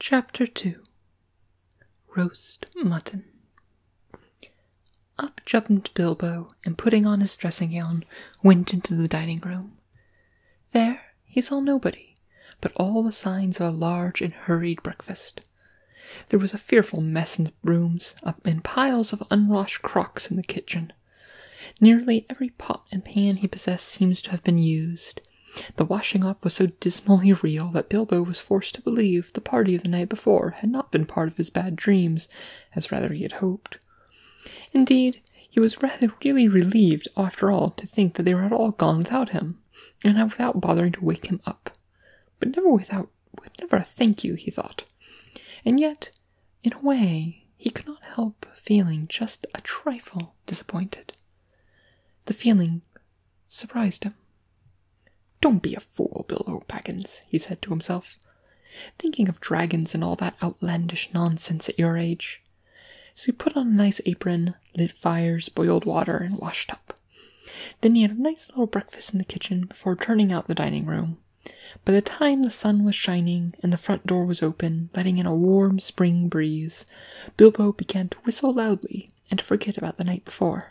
Chapter 2 Roast Mutton Up jumped Bilbo, and putting on his dressing gown, went into the dining room. There he saw nobody, but all the signs of a large and hurried breakfast. There was a fearful mess in the rooms, and piles of unwashed crocks in the kitchen. Nearly every pot and pan he possessed seems to have been used. The washing up was so dismally real that Bilbo was forced to believe the party of the night before had not been part of his bad dreams, as rather he had hoped. Indeed, he was rather really relieved, after all, to think that they were all gone without him, and without bothering to wake him up. But never without, never a thank you, he thought. And yet, in a way he could not help feeling just a trifle disappointed. The feeling surprised him. Don't be a fool, Bill O'Baggins, he said to himself. Thinking of dragons and all that outlandish nonsense at your age. So he put on a nice apron, lit fires, boiled water, and washed up. Then he had a nice little breakfast in the kitchen before turning out the dining room. By the time the sun was shining, and the front door was open, letting in a warm spring breeze, Bilbo began to whistle loudly and to forget about the night before.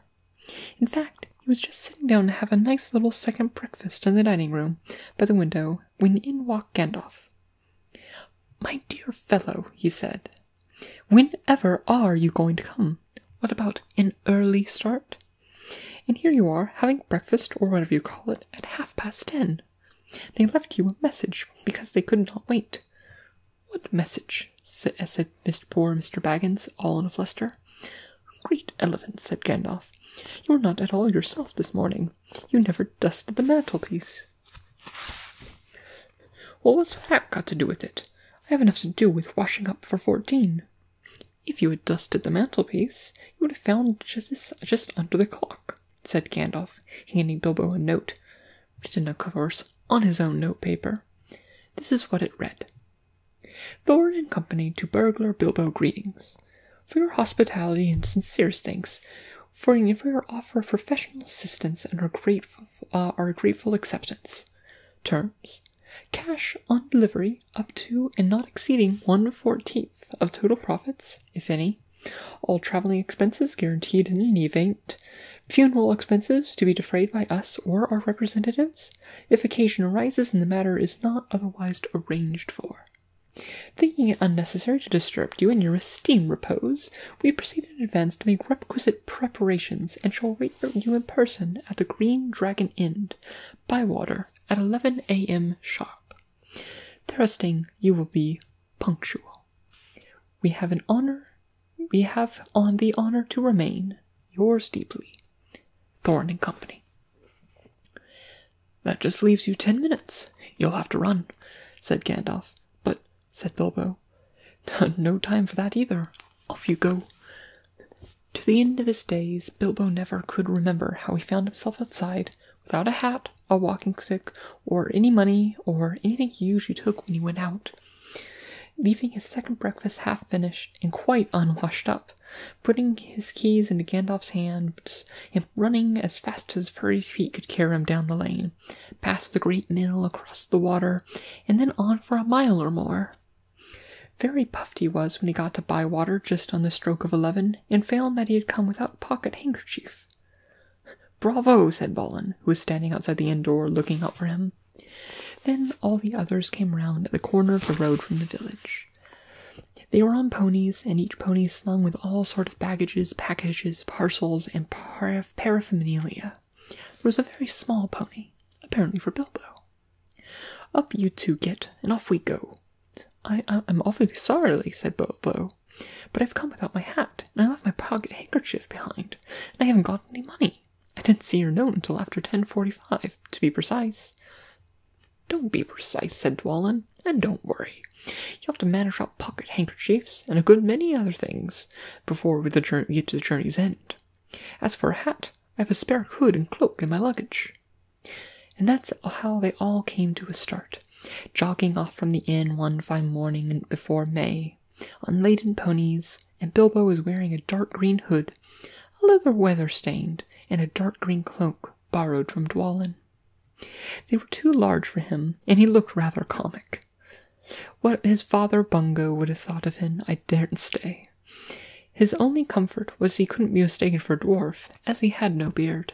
In fact, he was just sitting down to have a nice little second breakfast in the dining room by the window when in walked Gandalf. My dear fellow, he said, whenever are you going to come? What about an early start? And here you are having breakfast or whatever you call it at half past ten. They left you a message because they could not wait. What message? Uh, said, Mr. poor Mr. Baggins, all in a fluster. Great elephants! said Gandalf. You're not at all yourself this morning. You never dusted the mantelpiece. What what's that got to do with it? I have enough to do with washing up for fourteen. If you had dusted the mantelpiece, you would have found just under the clock said Gandalf, handing Bilbo a note, written, of course, on his own note paper. This is what it read Thorn and Company to Burglar Bilbo greetings. For your hospitality and sincerest thanks, for your offer of professional assistance and uh, our grateful acceptance. Terms cash on delivery up to and not exceeding one fourteenth of total profits, if any, all traveling expenses guaranteed in any event. Funeral expenses to be defrayed by us or our representatives if occasion arises and the matter is not otherwise arranged for. Thinking it unnecessary to disturb you in your esteemed repose, we proceed in advance to make requisite preparations and shall wait for you in person at the Green Dragon Inn, Bywater, at 11 a.m. sharp. Thrusting, you will be punctual. We have an honor. We have on the honor to remain yours deeply, Thorn and Company. That just leaves you ten minutes. You'll have to run, said Gandalf. But, said Bilbo, no time for that either. Off you go. To the end of his days, Bilbo never could remember how he found himself outside without a hat, a walking stick, or any money or anything he usually took when he went out, leaving his second breakfast half finished and quite unwashed up, putting his keys into Gandalf's hands and running as fast as Furry's feet could carry him down the lane, past the great mill, across the water, and then on for a mile or more. Very puffed he was when he got to Bywater just on the stroke of eleven, and found that he had come without a pocket handkerchief. Bravo, said Balin, who was standing outside the inn door looking out for him. Then all the others came round at the corner of the road from the village. They were on ponies, and each pony slung with all sort of baggages, packages, parcels, and paraphernalia. There was a very small pony, apparently for Bilbo. Up you two get, and off we go, I, I am awfully sorry, said Bobo, but I've come without my hat, and I left my pocket handkerchief behind, and I haven't got any money. I didn't see your note until after ten forty-five, to be precise. Don't be precise, said Dwallin, and don't worry. You'll have to manage without pocket handkerchiefs and a good many other things before we get to the journey's end. As for a hat, I have a spare hood and cloak in my luggage. And that's how they all came to a start, jogging off from the inn one fine morning before May, on laden ponies, and Bilbo was wearing a dark green hood, a leather weather stained, and a dark green cloak borrowed from Dwalin. They were too large for him, and he looked rather comic. What his father Bungo would have thought of him, I daren't say. His only comfort was he couldn't be mistaken for a dwarf, as he had no beard.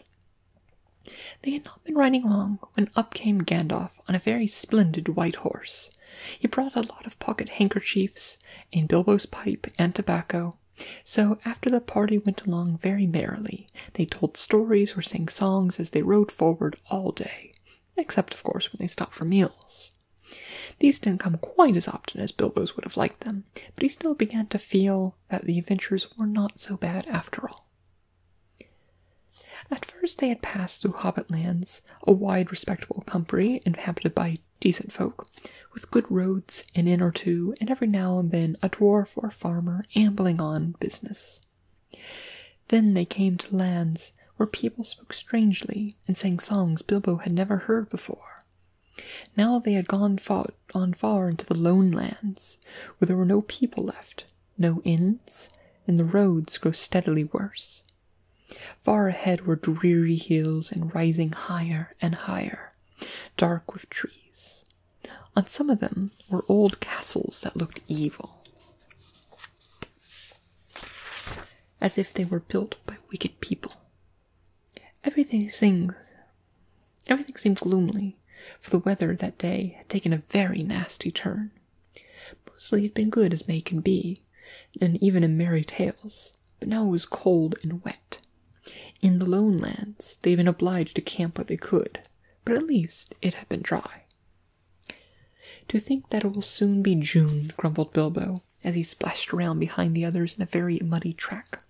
They had not been riding long when up came Gandalf on a very splendid white horse. He brought a lot of pocket handkerchiefs and Bilbo's pipe and tobacco. So after the party went along very merrily, they told stories or sang songs as they rode forward all day, except of course when they stopped for meals. These didn't come quite as often as Bilbo's would have liked them, but he still began to feel that the adventures were not so bad after all. At first, they had passed through Hobbit lands, a wide, respectable country inhabited by decent folk, with good roads, an inn or two, and every now and then a dwarf or farmer ambling on business. Then they came to lands where people spoke strangely and sang songs Bilbo had never heard before, now they had gone far, on far into the lone lands, where there were no people left, no inns, and the roads grew steadily worse. Far ahead were dreary hills and rising higher and higher, dark with trees. On some of them were old castles that looked evil, as if they were built by wicked people. Everything seemed, everything seemed gloomy, for the weather that day had taken a very nasty turn. Mostly it had been good as may can be, and even in merry tales, but now it was cold and wet. In the lone lands, they had been obliged to camp where they could, but at least it had been dry. To think that it will soon be June, grumbled Bilbo, as he splashed around behind the others in a very muddy track.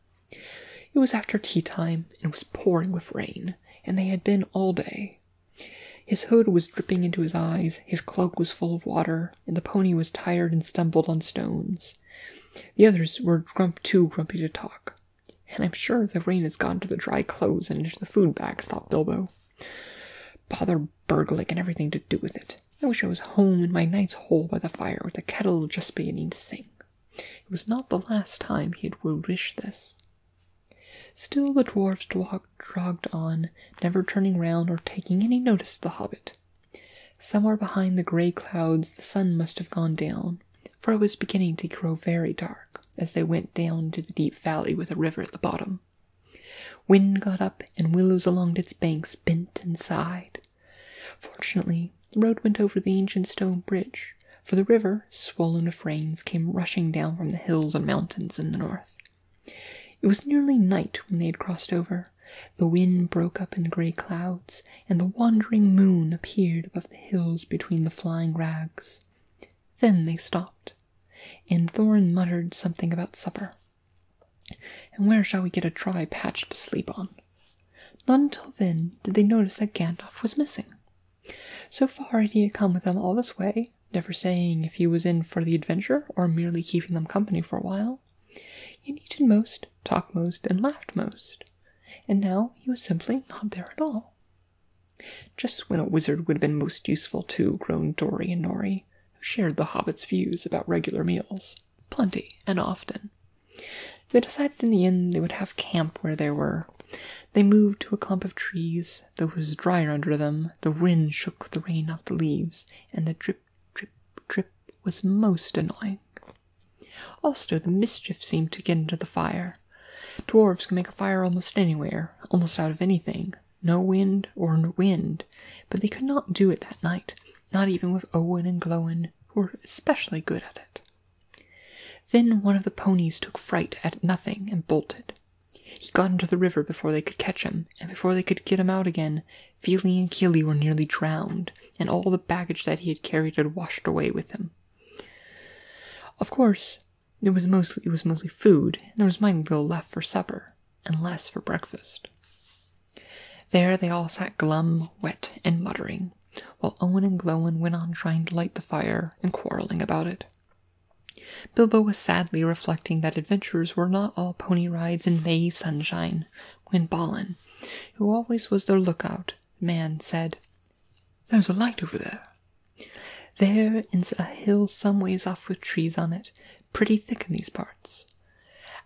It was after tea time and it was pouring with rain, and they had been all day. His hood was dripping into his eyes, his cloak was full of water, and the pony was tired and stumbled on stones. The others were grump too grumpy to talk. And I'm sure the rain has gone to the dry clothes and into the food bags, thought Bilbo. Bother burgling and everything to do with it. I wish I was home in my knight's hole by the fire with the kettle just beginning to sing. It was not the last time he had wished this. Still the dwarfs dragged on, never turning round or taking any notice of the hobbit. Somewhere behind the grey clouds the sun must have gone down, for it was beginning to grow very dark as they went down into the deep valley with a river at the bottom. Wind got up, and willows along its banks bent and sighed. Fortunately, the road went over the ancient stone bridge, for the river, swollen of rains, came rushing down from the hills and mountains in the north. It was nearly night when they had crossed over. The wind broke up in grey clouds, and the wandering moon appeared above the hills between the flying rags. Then they stopped, and Thorn muttered something about supper. And where shall we get a dry patch to sleep on? Not until then did they notice that Gandalf was missing. So far, he had come with them all this way, never saying if he was in for the adventure or merely keeping them company for a while. He had eaten most, talked most, and laughed most, and now he was simply not there at all. Just when a wizard would have been most useful, too, groaned Dory and Nori, who shared the hobbit's views about regular meals plenty and often. They decided in the end they would have camp where they were. They moved to a clump of trees, though it was drier under them. The wind shook the rain off the leaves, and the drip, drip, drip was most annoying. Also, the mischief seemed to get into the fire. Dwarves can make a fire almost anywhere, almost out of anything, no wind or wind, but they could not do it that night not even with Owen and Glowen, who were especially good at it. Then one of the ponies took fright at nothing and bolted. He got into the river before they could catch him, and before they could get him out again, Feely and Keely were nearly drowned, and all the baggage that he had carried had washed away with him. Of course, it was mostly it was mostly food, and there was nothing left for supper, and less for breakfast. There they all sat glum, wet, and muttering, while Owen and Glowen went on trying to light the fire and quarrelling about it. Bilbo was sadly reflecting that adventures were not all pony rides in May sunshine, when Balin, who always was their lookout man, said, There's a light over there. There is a hill some ways off with trees on it, pretty thick in these parts.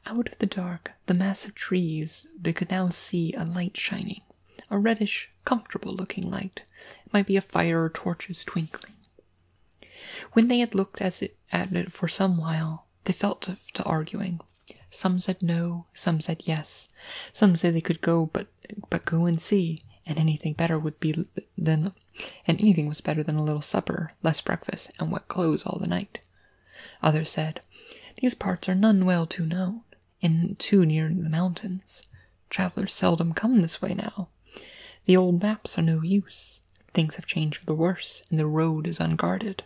Out of the dark, the mass of trees, they could now see a light shining, a reddish, comfortable looking light. It might be a fire or torches twinkling. When they had looked at it for some while, they fell to, to arguing. Some said no, some said yes. Some said they could go, but but go and see, and anything better would be than, and anything was better than a little supper, less breakfast, and wet clothes all the night. Others said, These parts are none well to know, and too near the mountains. Travelers seldom come this way now. The old maps are no use. Things have changed for the worse, and the road is unguarded.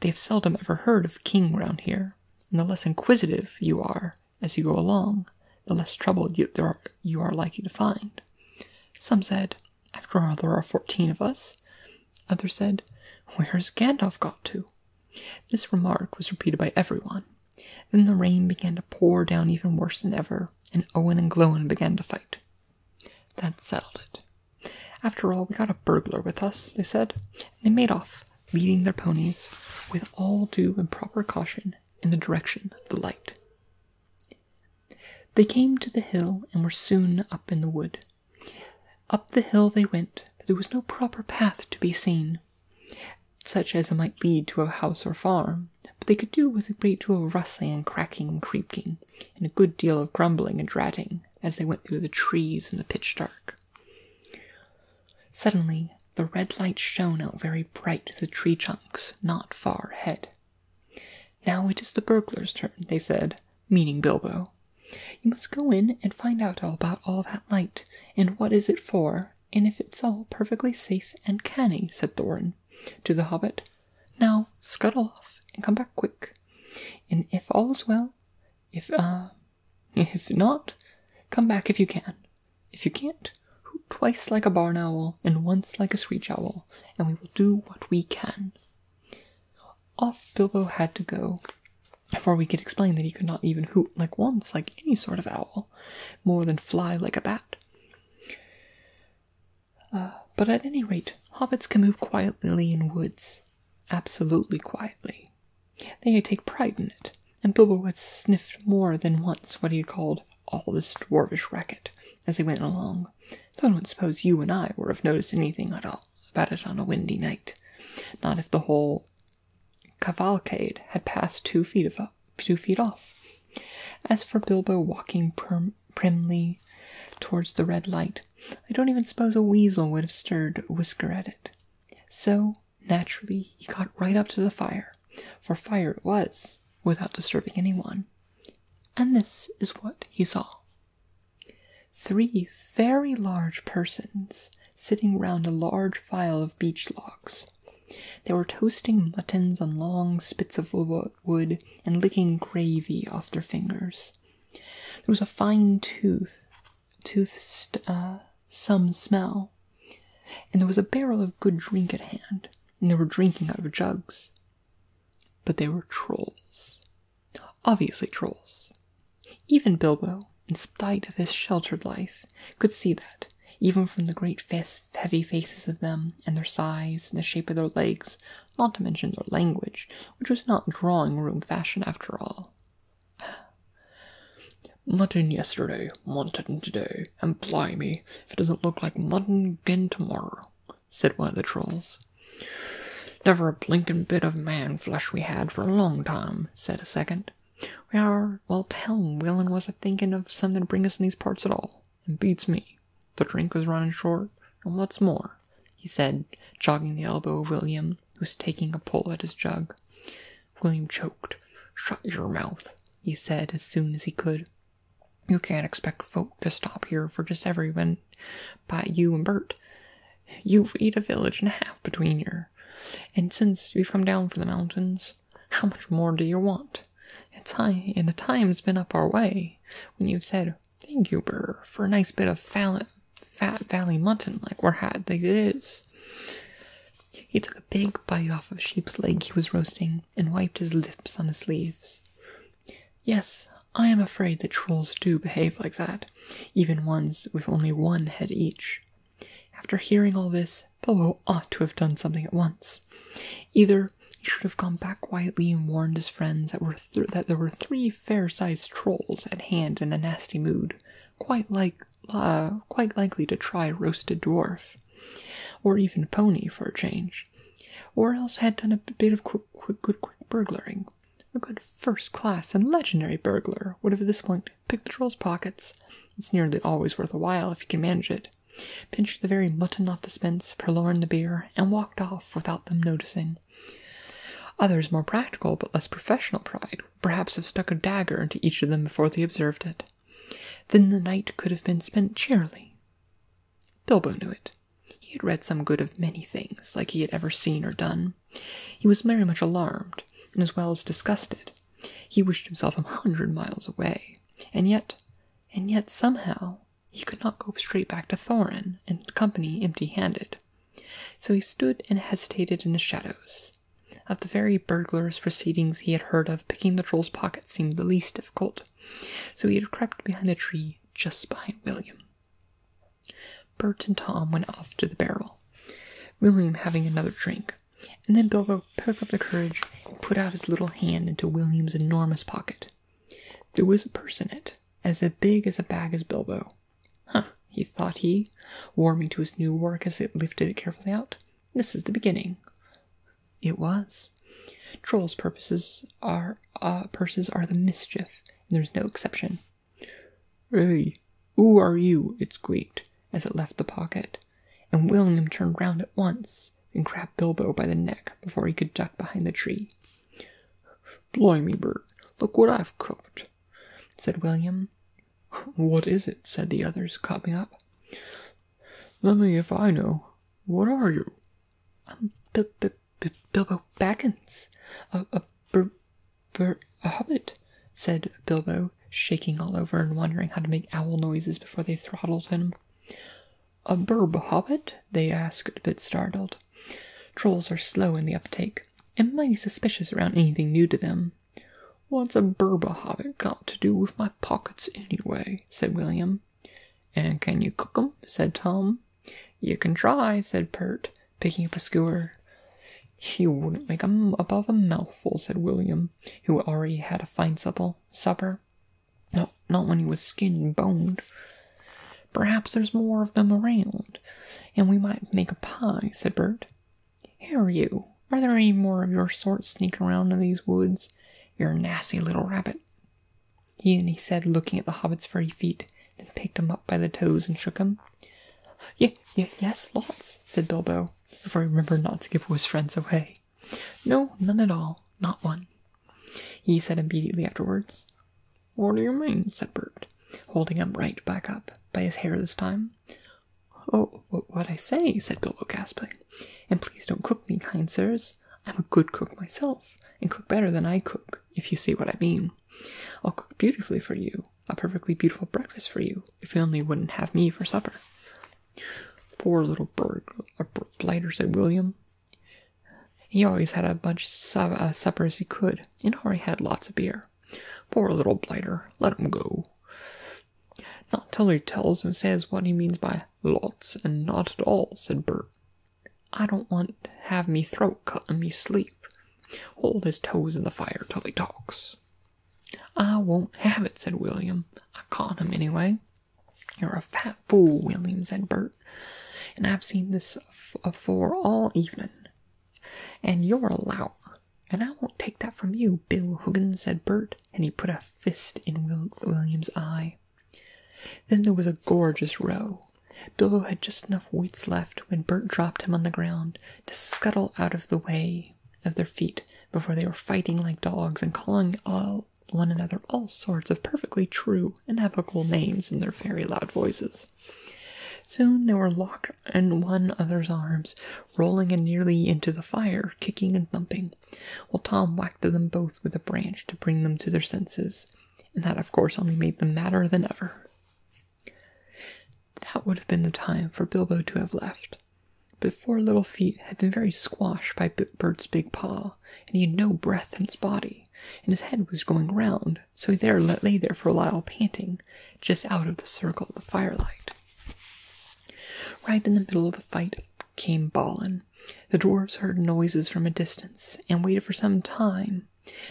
They have seldom ever heard of king round here, and the less inquisitive you are as you go along, the less trouble you are likely to find. Some said, after all, there are fourteen of us. Others said, Where's Gandalf got to? This remark was repeated by everyone. Then the rain began to pour down even worse than ever, and Owen and Glowin began to fight. That settled it. After all, we got a burglar with us, they said, and they made off, leading their ponies with all due and proper caution in the direction of the light. They came to the hill and were soon up in the wood. Up the hill they went, but there was no proper path to be seen, such as might lead to a house or farm, but they could do with a great deal of rustling and cracking and creaking, and a good deal of grumbling and ratting as they went through the trees in the pitch dark. Suddenly, the red light shone out very bright through the tree trunks not far ahead. Now it is the burglar's turn, they said, meaning Bilbo. You must go in and find out all about all that light, and what is it for, and if it's all perfectly safe and canny, said Thorin to the hobbit. Now scuttle off and come back quick. And if all's well, if ah, if not, come back if you can. If you can't, hoot twice like a barn owl and once like a screech owl, and we will do what we can. Off Bilbo had to go before we could explain that he could not even hoot like once, like any sort of owl, more than fly like a bat. Uh, but at any rate, hobbits can move quietly in woods, absolutely quietly. They take pride in it, and Bilbo had sniffed more than once what he called all this dwarfish racket as they went along so I don't suppose you and I would have noticed anything at all about it on a windy night. Not if the whole cavalcade had passed two feet of two feet off. As for Bilbo walking primly towards the red light, I don't even suppose a weasel would have stirred a whisker at it. So naturally he got right up to the fire, for fire it was, without disturbing anyone. And this is what he saw three very large persons sitting round a large file of beech logs. They were toasting muttons on long spits of wood and licking gravy off their fingers. There was a fine tooth, tooth uh, some smell, and there was a barrel of good drink at hand, and they were drinking out of jugs. But they were trolls. Obviously, trolls. Even Bilbo, in spite of his sheltered life, could see that, even from the great thick, heavy faces of them, and their size, and the shape of their legs, not to mention their language, which was not drawing room fashion after all. Mutton yesterday, mutton today, and blimey, if it doesn't look like mutton again tomorrow said one of the trolls. Never a blinkin' bit of man flesh we had for a long time, said a second. We are, well, tell him Willin was a thinkin' of somethin' to bring us in these parts at all, and beats me. The drink was runnin' short, and what's more, he said, jogging the elbow of William, who was taking a pull at his jug. William choked. Shut your mouth, he said as soon as he could. You can't expect folk to stop here for just everyone but you and Bert. You've eat a village and a half between you. And since you've come down from the mountains, how much more do you want? It's high, and the time's been up our way when you've said, Thank you, Bert, for a nice bit of fat, valley mutton like we're had like it is. He took a big bite off of a sheep's leg he was roasting and wiped his lips on his sleeves. Yes, I am afraid that trolls do behave like that, even ones with only one head each. After hearing all this, Bobo ought to have done something at once. Either he should have gone back quietly and warned his friends that, were that there were three fair-sized trolls at hand in a nasty mood, quite like ah, quite likely to try roasted dwarf, or even pony for a change or else had done a bit of good, quick burglaring. A good first class and legendary burglar would at this point pick the troll's pockets. It's nearly always worth a while if you can manage it. Pinched the very mutton off the spence, purloined the beer, and walked off without them noticing. Others, more practical but less professional pride, would perhaps have stuck a dagger into each of them before they observed it. Then the night could have been spent cheerily. Bilbo knew it. He had read some good of many things, like he had ever seen or done. He was very much alarmed, and as well as disgusted. He wished himself a hundred miles away, and yet, and yet somehow he could not go straight back to Thorin and company empty-handed. So he stood and hesitated in the shadows. Of the very burglars' proceedings he had heard of, picking the troll's pockets seemed the least difficult. So he had crept behind a tree just behind William. Bert and Tom went off to the barrel, William having another drink, and then Bilbo picked up the courage and put out his little hand into William's enormous pocket. There was a purse in it, as big as a bag as Bilbo. Huh, he thought he, warming to his new work as he lifted it carefully out. This is the beginning. It was. Trolls' purposes are uh, purses are the mischief, and there's no exception. Hey, who are you? It squeaked as it left the pocket, and William turned round at once and grabbed Bilbo by the neck before he could duck behind the tree. Blimey, Bert, look what I've cooked, said William. What is it? said the others, coming up. Let me if I know. What are you? I'm B B B Bilbo Baggins, a, a, bur, bur, a hobbit, said Bilbo, shaking all over and wondering how to make owl noises before they throttled him. A burb hobbit? they asked, a bit startled. Trolls are slow in the uptake, and mighty suspicious around anything new to them. What's a burb hobbit got to do with my pockets anyway? said William. And can you cook 'em? said Tom. You can try, said Pert, picking up a skewer. You wouldn't make 'em above a mouthful, said William, who already had a fine supper. No, not when he was skinned and boned. Perhaps there's more of them around, and we might make a pie, said Bert. Here, you, are there any more of your sort sneaking around in these woods? You're a nasty little rabbit. He and he said, looking at the hobbit's furry feet, then picked him up by the toes and shook him. Yeah, yeah, yes, lots, said Bilbo, if I remember not to give his friends away. No, none at all, not one. He said immediately afterwards. What do you mean? said Bert, holding him right back up, by his hair this time. Oh, what I say, said Bilbo gasping. And please don't cook me, kind sirs. I'm a good cook myself and cook better than I cook, if you see what I mean. I'll cook beautifully for you, a perfectly beautiful breakfast for you, if you only wouldn't have me for supper. Poor little bird, blighter, said William. He always had as much supper as he could, and already had lots of beer. Poor little blighter, let him go. Not till he tells and says what he means by lots and not at all, said Bert. I don't want to have me throat cut in me sleep. Hold his toes in the fire till he talks. I won't have it, said William. I caught him anyway. You're a fat fool, William, said Bert. And I've seen this afore all evenin', And you're a lout. And I won't take that from you, Bill Huggins, said Bert, and he put a fist in William's eye. Then there was a gorgeous row. Bilbo had just enough wits left when Bert dropped him on the ground to scuttle out of the way of their feet before they were fighting like dogs and calling all one another all sorts of perfectly true and evocable names in their very loud voices. Soon they were locked in one another's arms, rolling and nearly into the fire, kicking and thumping, while Tom whacked them both with a branch to bring them to their senses, and that, of course, only made them madder than ever. That would have been the time for Bilbo to have left, but four little feet had been very squashed by Bert's big paw, and he had no breath in his body, and his head was going round, so he there lay there for a while panting, just out of the circle of the firelight. Right in the middle of the fight, came bawling, The dwarfs heard noises from a distance and waited for some time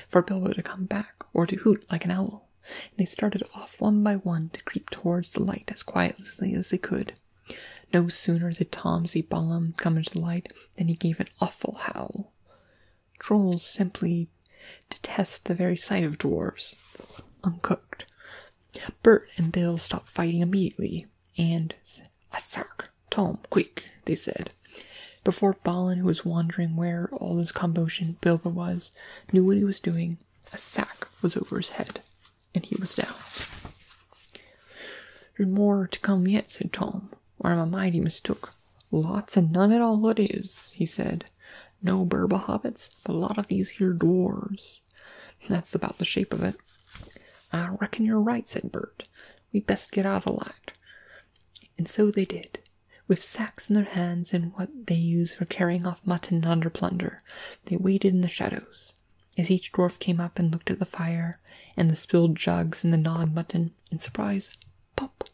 for Bilbo to come back or to hoot like an owl. they started off one by one to creep towards the light as quietly as they could. No sooner did Tomsey see Balam come into the light than he gave an awful howl. Trolls simply detest the very sight of dwarfs, uncooked. Bert and Bill stopped fighting immediately and a sack, Tom, quick, they said. Before Balin, who was wondering where all this commotion Bilbo was, knew what he was doing, a sack was over his head, and he was down. There's more to come yet, said Tom, or I'm a mighty mistook. Lots and none at all it is, he said. No Burba hobbits, a lot of these here dwarfs That's about the shape of it. I reckon you're right, said Bert. We best get out of the light. And so they did, with sacks in their hands and what they use for carrying off mutton under plunder. They waited in the shadows. As each dwarf came up and looked at the fire and the spilled jugs and the gnawed mutton, in surprise, pop,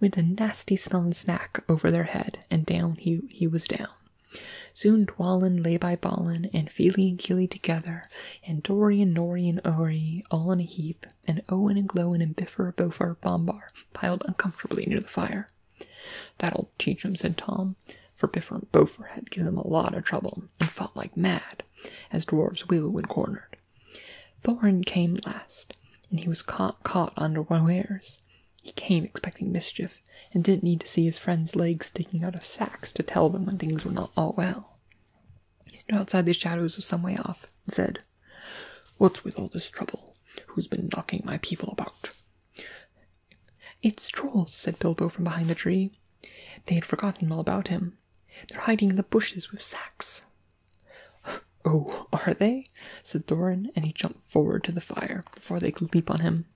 went a nasty smelling snack over their head, and down he, he was down. Soon Dwalin lay by Balin, and Feely and Keely together, and Dory and Nori and Ori all in a heap, and Owen and Glowin and Biffer, Bofer, Bombar piled uncomfortably near the fire. That'll teach 'em, said Tom, for Biffer and Bofer had given them a lot of trouble, and fought like mad, as dwarves will when cornered. Thorin came last, and he was caught, under one caught underwares. He came expecting mischief, and didn't need to see his friend's legs sticking out of sacks to tell them when things were not all well. He stood outside the shadows of some way off, and said, What's with all this trouble? Who's been knocking my people about? It's trolls, said Bilbo from behind a tree. They had forgotten all about him. They're hiding in the bushes with sacks. Oh, are they? said Thorin, and he jumped forward to the fire before they could leap on him.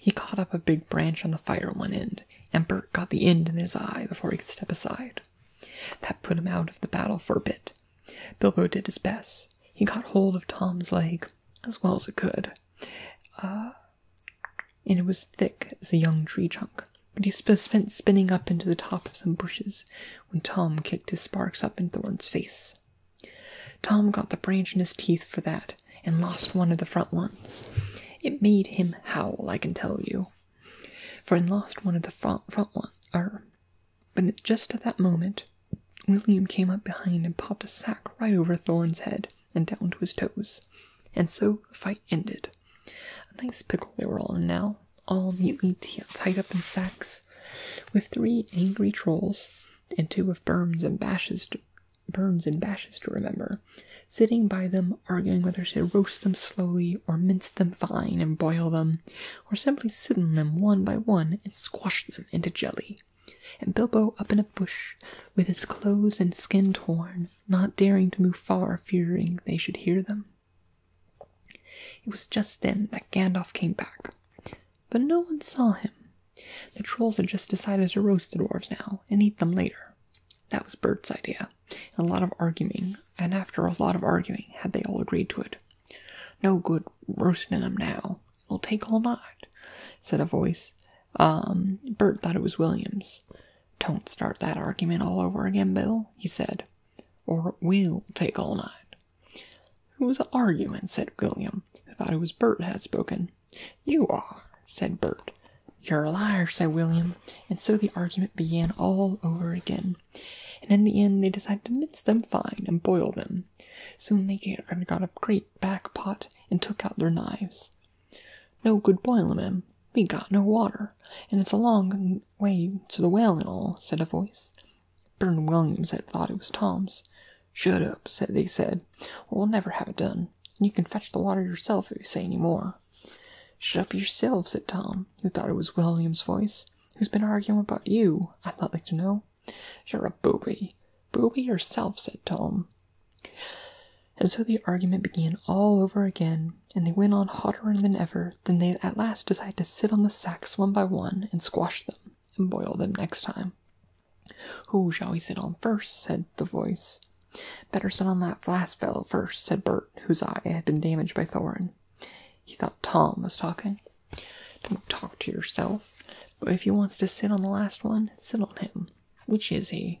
He caught up a big branch on the fire one end, and Bert got the end in his eye before he could step aside. That put him out of the battle for a bit. Bilbo did his best. He got hold of Tom's leg as well as it could, uh, and it was thick as a young tree trunk. But he spent spinning up into the top of some bushes when Tom kicked his sparks up in Thorne's face. Tom got the branch in his teeth for that and lost one of the front ones. It made him howl, I can tell you. For it lost one of the front, front one, er, but just at that moment, William came up behind and popped a sack right over Thorn's head and down to his toes. And so the fight ended. A nice pickle they were all in now, all neatly tied up in sacks, with three angry trolls and two of Burns and bashes to, Burns and Bash's to remember, sitting by them arguing whether to roast them slowly or mince them fine and boil them, or simply sit on them one by one and squash them into jelly. And Bilbo up in a bush, with his clothes and skin torn, not daring to move far, fearing they should hear them. It was just then that Gandalf came back but no one saw him. The trolls had just decided to roast the dwarfs now and eat them later. That was Bert's idea, a lot of arguing, and after a lot of arguing, had they all agreed to it. No good roasting them now. It'll take all night, said a voice. Um, Bert thought it was Williams. Don't start that argument all over again, Bill, he said, or it will take all night. It was an argument, said William, who thought it was Bert had spoken. You are, said Bert. You're a liar, said William, and so the argument began all over again. And in the end, they decided to mince them fine and boil them. Soon they got a great back pot and took out their knives. No good boiling them. We got no water, and it's a long way to the well and all, said a voice. Bert and Williams had thought it was Tom's. Shut up, said they said, we'll never have it done, and you can fetch the water yourself if you say any more. Shut up yourself, said Tom, who thought it was William's voice. Who's been arguing about you? I'd not like to know. You're a booby. Booby yourself, said Tom. And so the argument began all over again, and they went on hotter than ever. Then they at last decided to sit on the sacks one by one and squash them and boil them next time. Who shall we sit on first? said the voice. Better sit on that last fellow first, said Bert, whose eye had been damaged by Thorin. He thought Tom was talking. Don't talk to yourself, but if he wants to sit on the last one, sit on him. Which is he?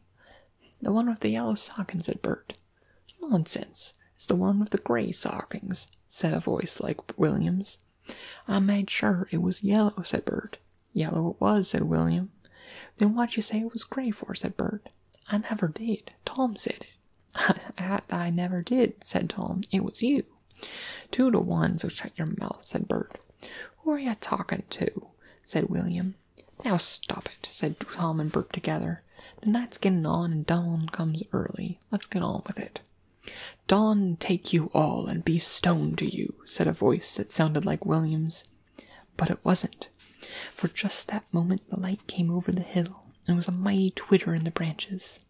The one with the yellow stockings, said Bert. Nonsense. It's the one with the grey stockings, said a voice like William's. I made sure it was yellow, said Bert. Yellow it was, said William. Then what would you say it was gray for, said Bert. I never did. Tom said it. I, never did, said Tom. It was you. Two to one, so shut your mouth, said Bert. Who are you talking to? said William. Now stop it, said Tom and Bert together. The night's getting on and dawn comes early. Let's get on with it. Dawn take you all and be stone to you, said a voice that sounded like William's. But it wasn't, for just that moment the light came over the hill, and was a mighty twitter in the branches.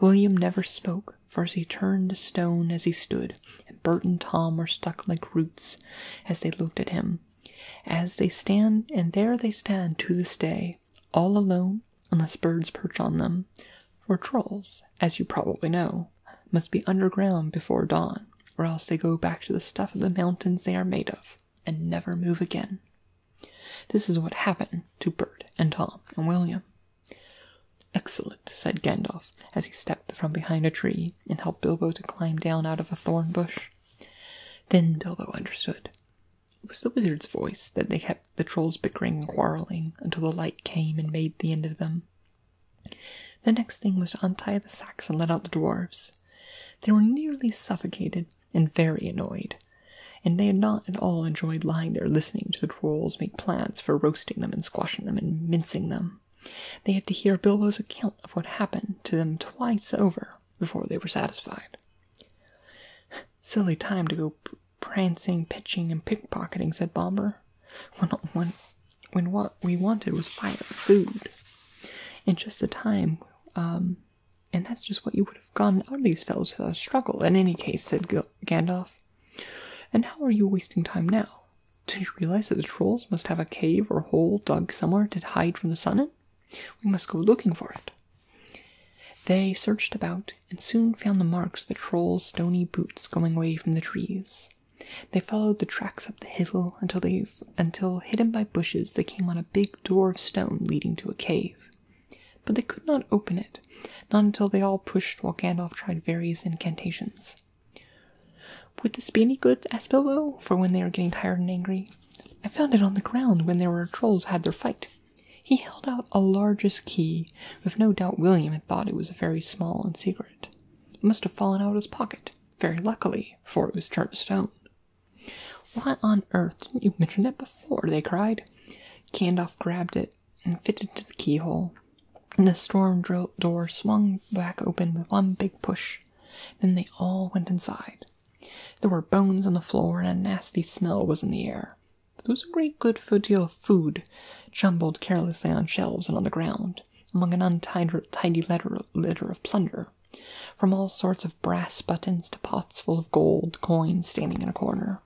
William never spoke, for he turned to stone as he stood, and Bert and Tom were stuck like roots as they looked at him. As they stand, and there they stand to this day, all alone, unless birds perch on them, for trolls, as you probably know, must be underground before dawn, or else they go back to the stuff of the mountains they are made of and never move again. This is what happened to Bert and Tom and William. Excellent, said Gandalf as he stepped from behind a tree and helped Bilbo to climb down out of a thorn bush. Then Bilbo understood. It was the wizard's voice that they kept the trolls bickering and quarreling until the light came and made the end of them. The next thing was to untie the sacks and let out the dwarfs. They were nearly suffocated and very annoyed, and they had not at all enjoyed lying there listening to the trolls make plans for roasting them and squashing them and mincing them. They had to hear Bilbo's account of what happened to them twice over before they were satisfied. Silly time to go prancing, pitching, and pickpocketing, said Bomber. When, when, when what we wanted was fire, and food, in just the time, um, and that's just what you would have gotten out of these fellows without a struggle. In any case, said Gandalf. And how are you wasting time now? Did you realize that the trolls must have a cave or hole dug somewhere to hide from the sun in? We must go looking for it. They searched about and soon found the marks of the troll's stony boots going away from the trees. They followed the tracks up the hill until they until hidden by bushes they came on a big door of stone leading to a cave. But they could not open it, not until they all pushed while Gandalf tried various incantations. Would this be any good? asked Bilbo, for when they were getting tired and angry. I found it on the ground when there were trolls had their fight. He held out a largish key, with no doubt William had thought it was very small and secret. It must have fallen out of his pocket, very luckily, for it was turned to stone. Why on earth didn't you mention that before? they cried. Gandalf grabbed it and fitted it to the keyhole, and the storm door swung back open with one big push. Then they all went inside. There were bones on the floor, and a nasty smell was in the air. There was a great good deal of food, jumbled carelessly on shelves and on the ground, among an untidy litter of plunder, from all sorts of brass buttons to pots full of gold coins standing in a corner.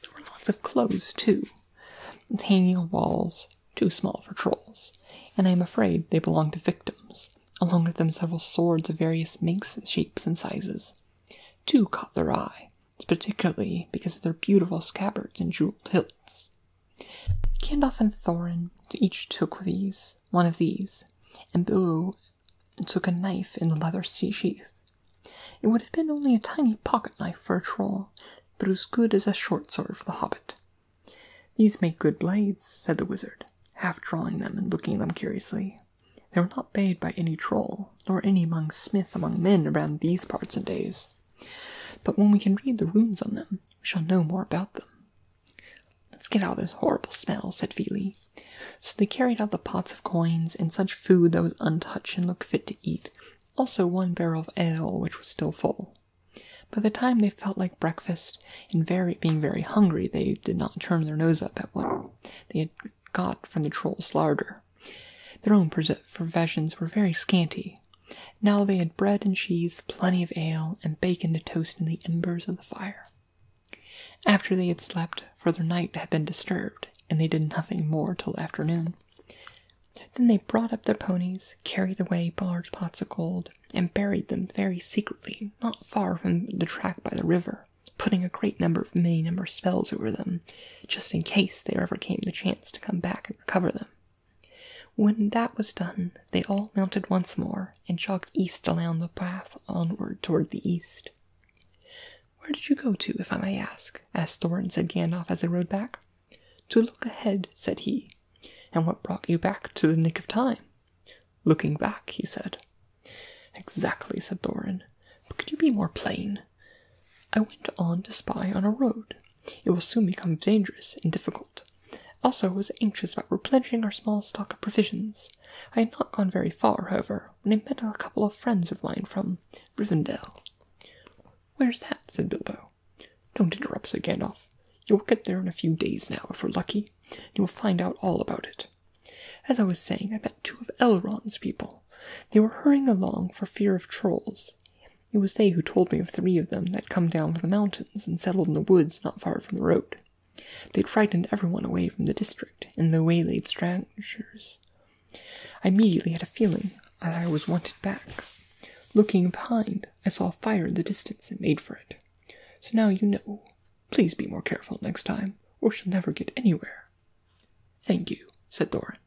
There were lots of clothes, too, hanging on walls, too small for trolls, and I am afraid they belonged to victims, along with them several swords of various makes, shapes, and sizes. Two caught their eye, particularly because of their beautiful scabbards and jeweled hilts. Gandalf and Thorin each took these, one of these, and Bilbo took a knife in the leather sheath. It would have been only a tiny pocket knife for a troll, but as good as a short sword for the hobbit. These make good blades, said the wizard, half drawing them and looking at them curiously. They were not bade by any troll, nor any among smith among men around these parts and days. But when we can read the runes on them, we shall know more about them. Let's get out of this horrible smell, said Feely. So they carried out the pots of coins and such food that was untouched and looked fit to eat, also one barrel of ale which was still full. By the time they felt like breakfast, and very being very hungry, they did not turn their nose up at what they had got from the troll's larder. Their own provisions were very scanty. Now they had bread and cheese, plenty of ale, and bacon to toast in the embers of the fire. After they had slept, for their night had been disturbed, and they did nothing more till afternoon. Then they brought up their ponies, carried away large pots of gold, and buried them very secretly, not far from the track by the river putting a great number of many number spells over them, just in case there ever came the chance to come back and recover them. When that was done, they all mounted once more and jogged east along the path onward toward the east. Where did you go to, if I may ask? asked Thorin, said Gandalf as they rode back. To look ahead, said he. And what brought you back to the nick of time? Looking back, he said, Exactly, said Thorin. But could you be more plain? I went on to spy on a road. It will soon become dangerous and difficult. Also, I was anxious about replenishing our small stock of provisions. I had not gone very far, however, when I met a couple of friends of mine from Rivendell. Where's that? said Bilbo. Don't interrupt, said Gandalf. You'll get there in a few days now, if we're lucky, you will find out all about it. As I was saying, I met two of Elrond's people. They were hurrying along for fear of trolls. It was they who told me of three of them that come down from the mountains and settled in the woods not far from the road. They'd frightened everyone away from the district, and they waylaid strangers. I immediately had a feeling that I was wanted back. Looking behind, I saw a fire in the distance and made for it. So now you know. Please be more careful next time, or she'll never get anywhere. Thank you, said Doran.